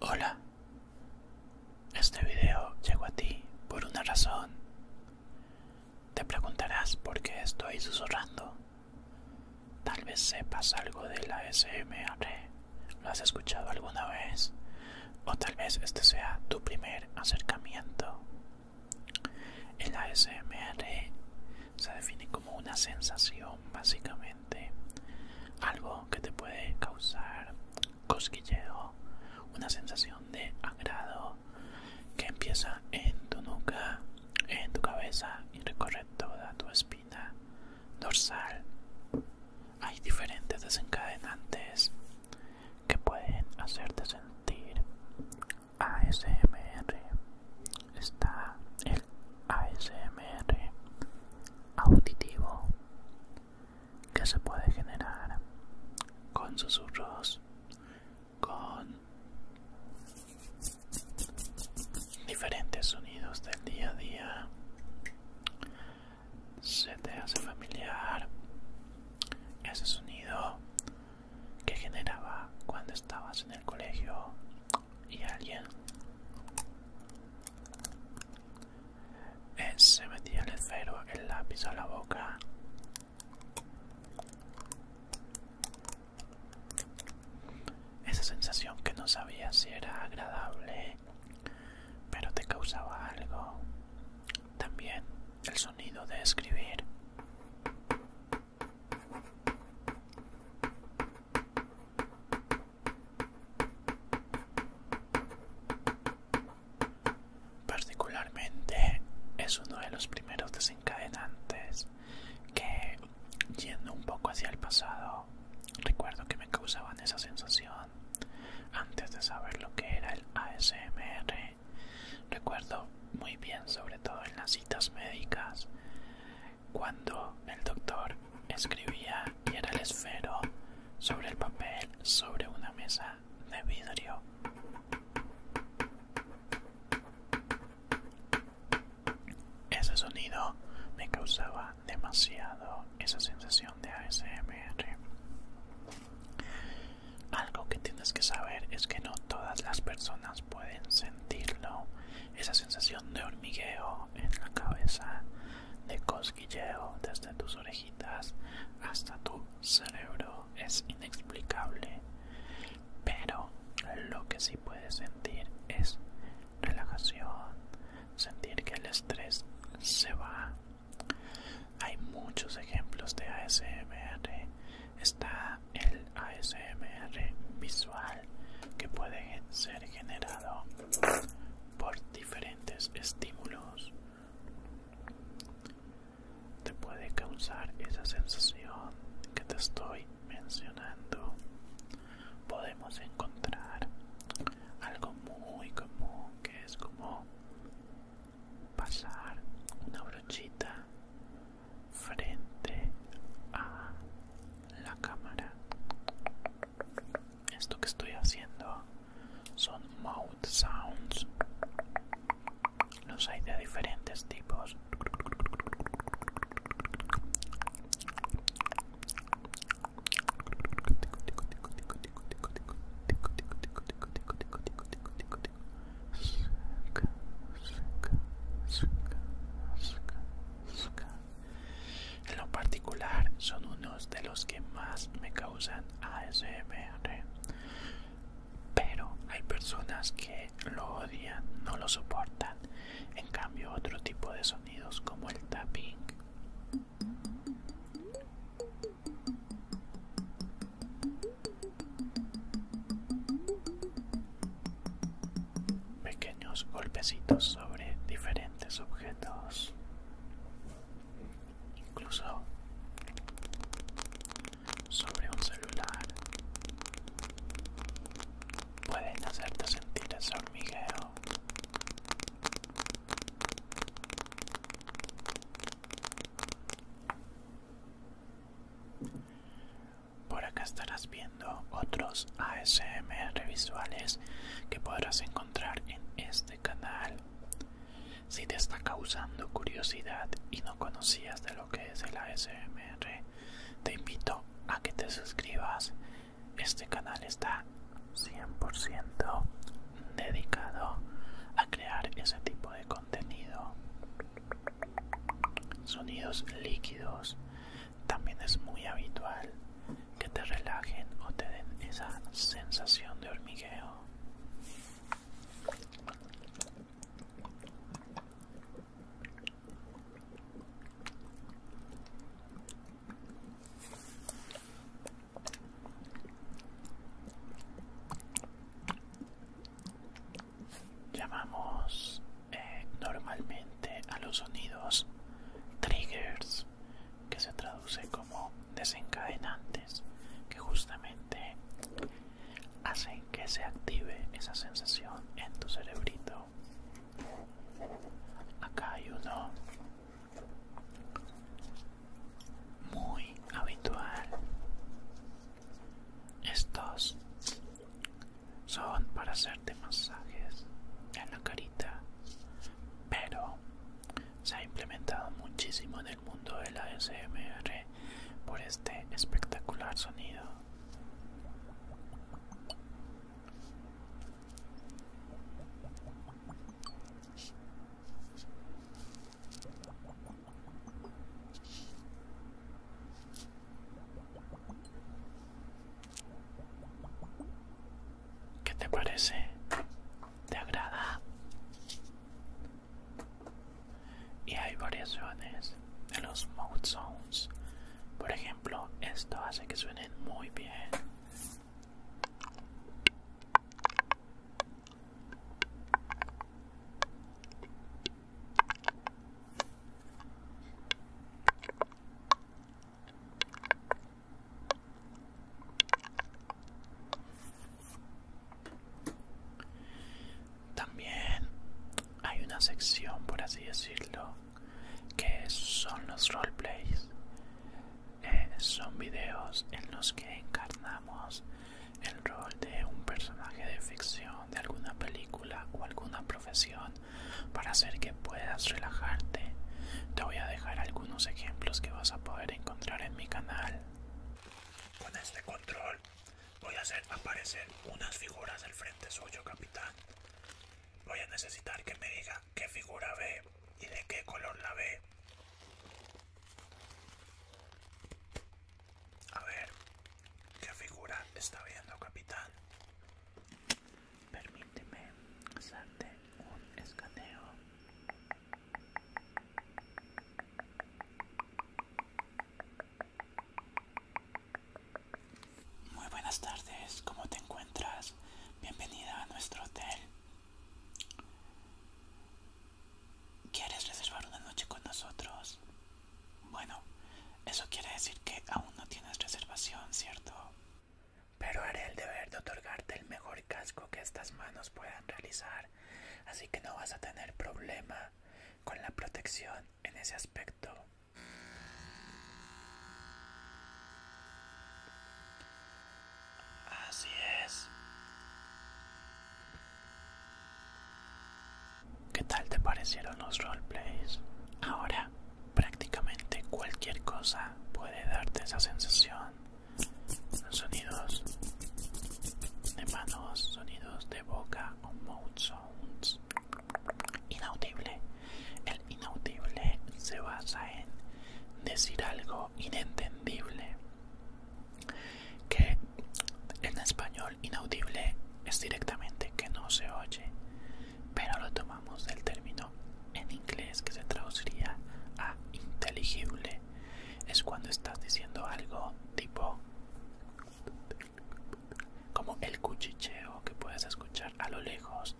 Hola, este video llegó a ti por una razón. Te preguntarás por qué estoy susurrando. Tal vez sepas algo de la lo has escuchado alguna vez, o tal vez este sea tu primer acercamiento. el asmr se define como una sensación básicamente, algo que te puede causar cosquilleo, una sensación de agrado que empieza en tu nuca, en tu cabeza y recorre toda tu espina dorsal. Hay diferentes desencadenantes que pueden hacerte sentir ASMR. Está el ASMR auditivo, que se puede generar con susurros, con diferentes sonidos del día a día. Se te hace familiar ese sonido que generaba cuando estabas en el colegio y alguien eh, se metía el esfero, el lápiz a la boca. Esa sensación que no sabía si era agradable, pero te causaba algo. También el sonido de escribir. Particularmente es uno de los primeros desencadenantes que, yendo un poco hacia el pasado, recuerdo que me causaban esa sensación antes de saber lo que era el ASMR. Recuerdo muy bien, sobre todo en las citas médicas, cuando el doctor Escribía y era el esfero sobre el papel sobre una mesa de vidrio. Ese sonido me causaba demasiado esa sensación de ASMR. Algo que tienes que saber es que no todas las personas pueden sentirlo. Esa sensación de hormigueo en la cabeza de cosquilleo desde tus orejitas hasta tu cerebro es inexplicable. Pero lo que sí puedes sentir es relajación, sentir que el estrés se va. Hay muchos ejemplos de ASMR. Está el ASMR visual que puede ser generado por diferentes estímulos te puede causar esa sensación que te estoy mencionando podemos encontrar algo muy común que es como pasar una brochita frente a la cámara esto que estoy haciendo son mouth sounds los hay de diferentes tipos en lo particular, son unos de los que más me causan ASMR. Pero hay personas que lo odian, no lo soportan. En cambio, otro tipo de sonidos como el tapping pequeños golpecitos sobre diferentes objetos incluso sobre un celular pueden hacerte sentir ese hormigueo por acá estarás viendo otros ASMR visuales que podrás encontrar en este canal. Si te está causando curiosidad y no conocías de lo que es el ASMR, te invito a que te suscribas. Este canal está 100% dedicado a crear ese tipo de contenido. Sonidos líquidos también es muy habitual que te relajen o te den esa sensación de hormigueo. Llamamos eh, normalmente a los sonidos triggers que se traduce como desencadenantes, que justamente hacen que se active esa sensación en tu cerebrito. Acá hay uno muy habitual. Estos son para hacerte masajes en la carita, pero se ha implementado muchísimo en el mundo de la SMR por este espectacular sonido. ¿Qué te parece? te agrada y hay variaciones de los mode zones. por ejemplo esto hace que suenen muy bien también hay una sección, por así decirlo, que son los roleplays. Eh, son videos en los que encarnamos el rol de un personaje de ficción, de alguna película o alguna profesión para hacer que puedas relajarte. Te voy a dejar algunos ejemplos que vas a poder encontrar en mi canal. Con este control voy a hacer aparecer unas figuras del frente suyo, capitán. Voy a necesitar que me diga qué figura ve y de qué color la ve. A ver, ¿qué figura está viendo, capitán? Permíteme hacerte un escaneo. Muy buenas tardes, ¿cómo te encuentras? Bienvenida a nuestro hotel. ¿Quieres reservar una noche con nosotros? Bueno, eso quiere decir que aún no tienes reservación, ¿cierto? pero haré el deber de otorgarte el mejor casco que estas manos puedan realizar, así que no vas a tener problema con la protección en ese aspecto. Así es. ¿Qué tal te parecieron los roleplays? Ahora, prácticamente cualquier cosa puede darte esa sensación sonidos de manos, sonidos de boca o mouth sounds. Inaudible. El inaudible se basa en decir algo inentendible. Que en español inaudible es directamente que no se oye, pero lo tomamos del término en inglés que se traduciría a inteligible es cuando estás diciendo algo tipo como el cuchicheo que puedes escuchar a lo lejos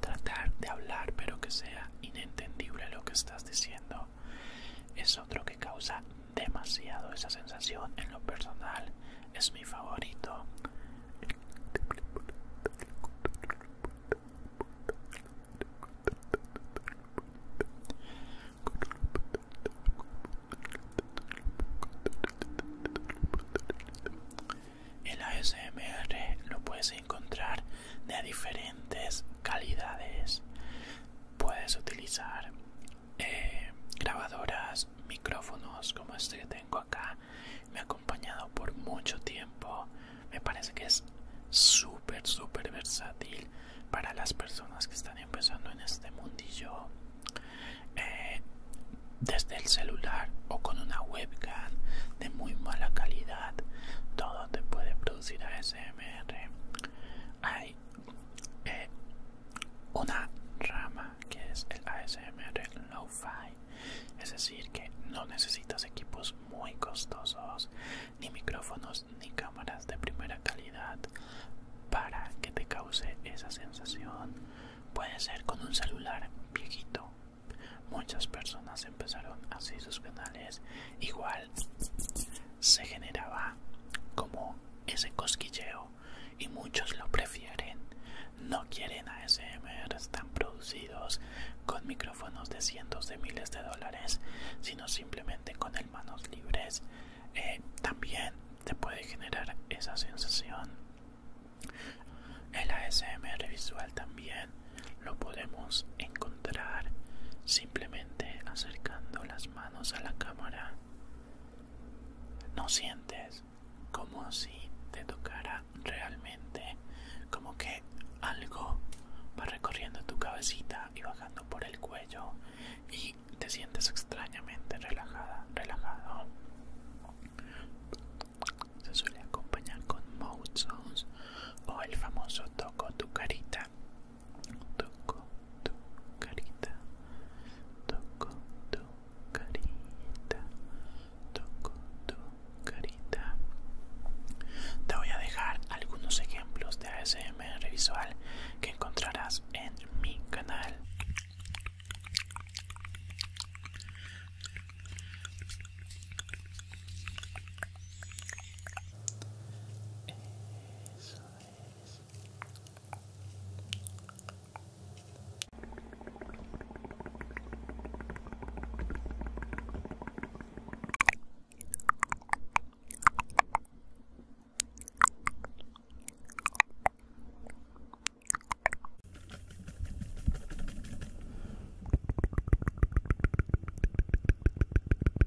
tratar de hablar pero que sea inentendible lo que estás diciendo es otro que causa demasiado esa sensación en lo personal es mi favorito el ASMR lo puedes encontrar de diferentes calidades puedes utilizar eh, grabadoras, micrófonos como este que tengo acá. Me ha acompañado por mucho tiempo. Me parece que es súper, súper versátil para las personas que están empezando en este mundillo. Eh, desde el celular o con una webcam de muy mala calidad, todo te puede producir ASMR. Hay eh, una rama que es el ASMR Lo-Fi, es decir, que no necesitas equipos muy costosos, ni micrófonos, ni cámaras de primera calidad para que te cause esa sensación. Puede ser con un celular viejito. Muchas personas empezaron así sus canales, igual se generaba como ese cosquilleo y muchos lo prefieren. No quieren ASMR tan producidos con micrófonos de cientos de miles de dólares, sino simplemente con el manos libres. Eh, también te puede generar esa sensación. El ASMR visual también lo podemos encontrar simplemente acercando las manos a la cámara no sientes como si te tocara realmente, como que algo va recorriendo tu cabecita y bajando por el cuello y te sientes extrañamente relajada, relajado. Se suele acompañar con mood sounds o el famoso toco tu carita. Toco tu carita. Toco tu carita, toco tu carita. Te voy a dejar algunos ejemplos de ASMR visual que encontrarás en mi canal. Eso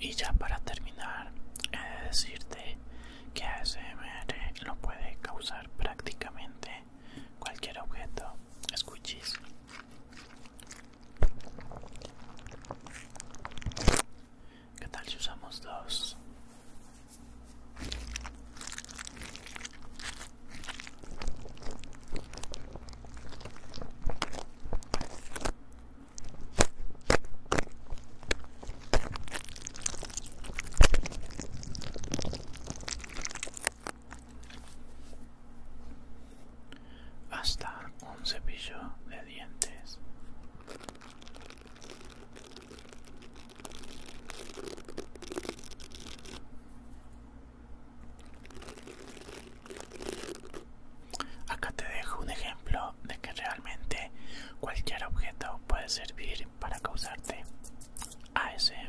y ya para terminar, he de decirte que ASMR lo puede causar prácticamente cualquier objeto. Escuchis. ¿Qué tal si usamos dos? hasta un cepillo de dientes Acá te dejo un ejemplo de que realmente cualquier objeto puede servir para causarte ASMR.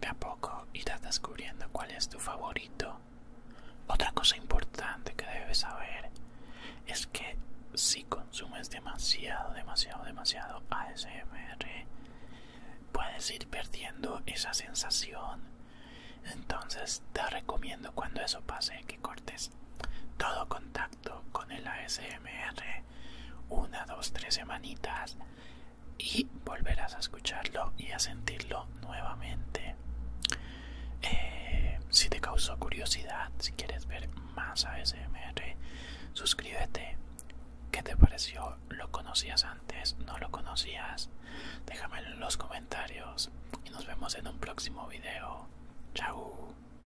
De a poco irás descubriendo cuál es tu favorito. Otra cosa importante que debes saber es que si consumes demasiado, demasiado, demasiado ASMR, puedes ir perdiendo esa sensación. Entonces te recomiendo cuando eso pase que cortes todo contacto con el ASMR una, dos, tres semanitas y volverás a escucharlo y a sentirlo nuevamente. Eh, si te causó curiosidad, si quieres ver más ASMR, suscríbete. ¿Qué te pareció? ¿Lo conocías antes? ¿No lo conocías? Déjamelo en los comentarios y nos vemos en un próximo video. Chao.